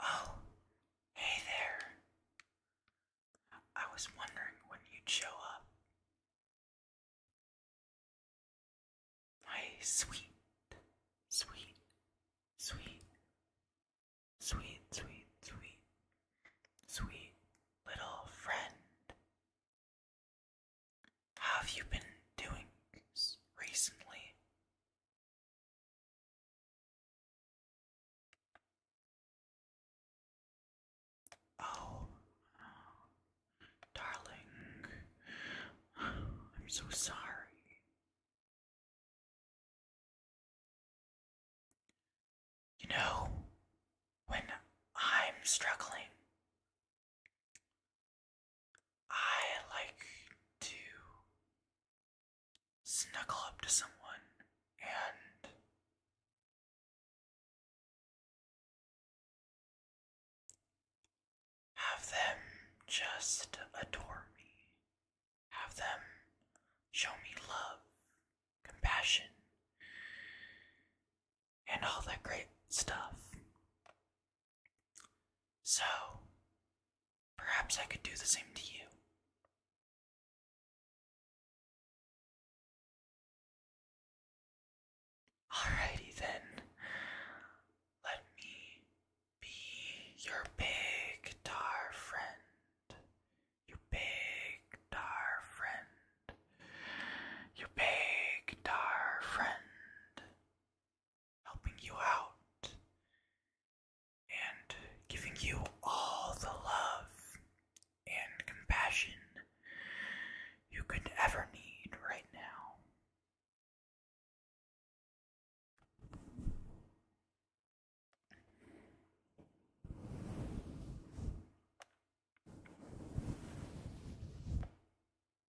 Oh, hey there. I was wondering when you'd show up. My sweet, sweet, sweet, sweet, sweet, sweet, sweet little friend. How have you been doing recently? Oh, darling, I'm so sorry. You know, when I'm struggling, I like to snuggle up to someone and have them just adore me, have them show me love, compassion, and all that great stuff. So, perhaps I could do the same to you. Alrighty then, let me be your big tar friend. Your big tar friend. Your big tar friend helping you out, and giving you all the love and compassion you could ever need right now.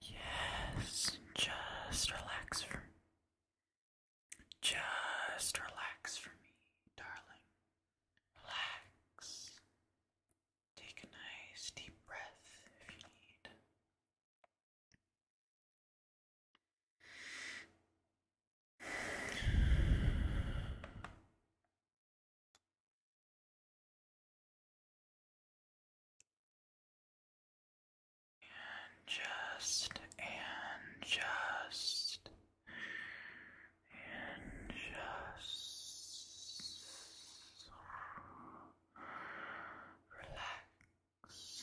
Yes, just relax for me. Just relax for me, darling. Relax. Take a nice deep breath if you need. And just, and just, and just relax.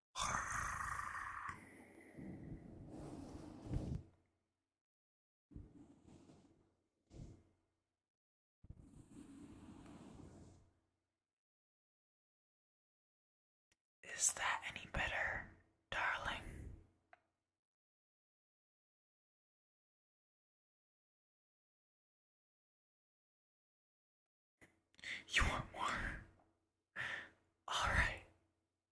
Is that any better, darling? You want more? All right.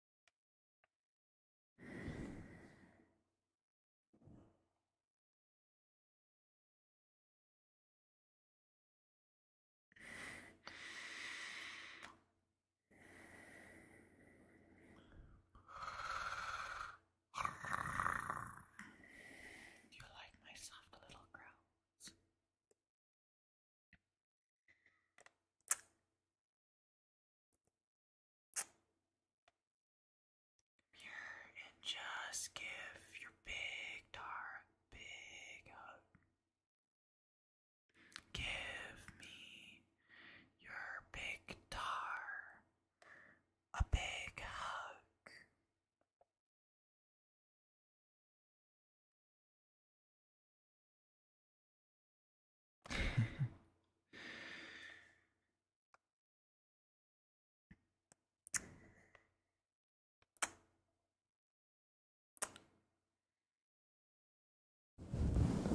Do you like my soft little growls? Come here and just give your big dark big hug. Give me your big tar a big hug.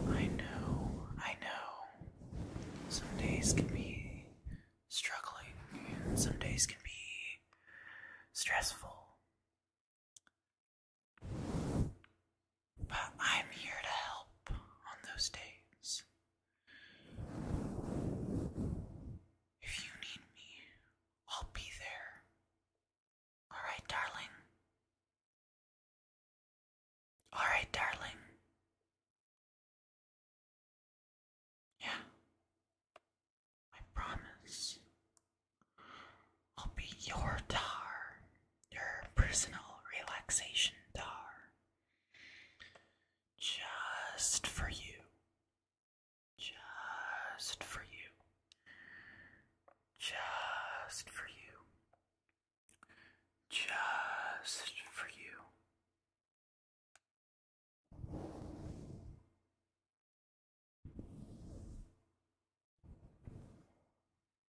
I know, I know. Some days can be struggling, and some days can be stressful. But I'm here to help on those days. If you need me, I'll be there. Alright, darling. Alright, darling. Yeah. I promise. I'll be your tar your personal relaxation tar just for you. Just for you. Just for you. Just for you.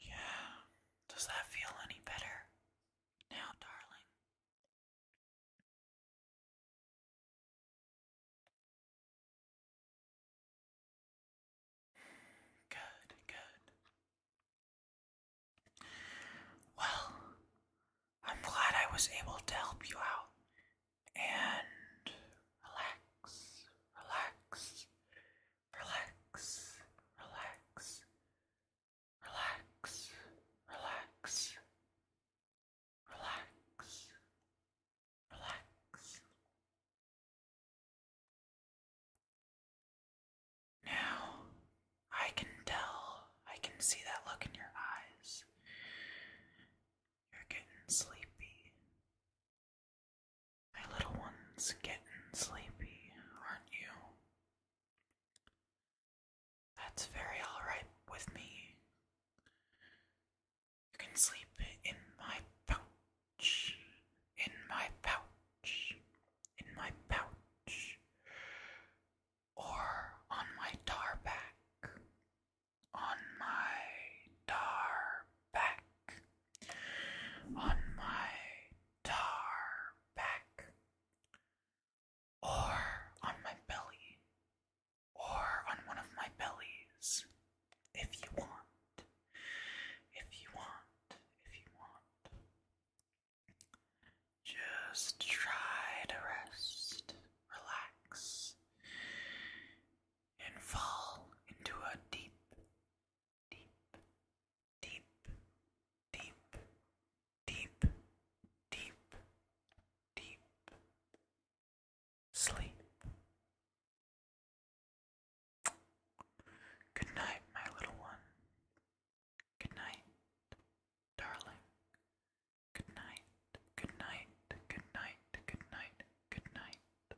Yeah, does that feel any better now, darling? Good, good. Well, I'm glad I was able to help you out. And relax, relax, relax, relax, relax, relax. Relax. Relax. Now, I can tell, I can see that look in your eyes. You're getting sleepy. My little one's getting sleepy, aren't you? That's very alright with me. You can sleep in my pouch, in my pouch, in my pouch, or on my tar back, on my tar back, on my tar back, or on my belly, or on one of my bellies if you want. If you want, if you want. Just try to rest, relax, and fall into a deep, deep, deep, deep, deep, deep, deep, Sleep. Good night, my little one. Good night, darling. Good night, good night, good night, good night, good night.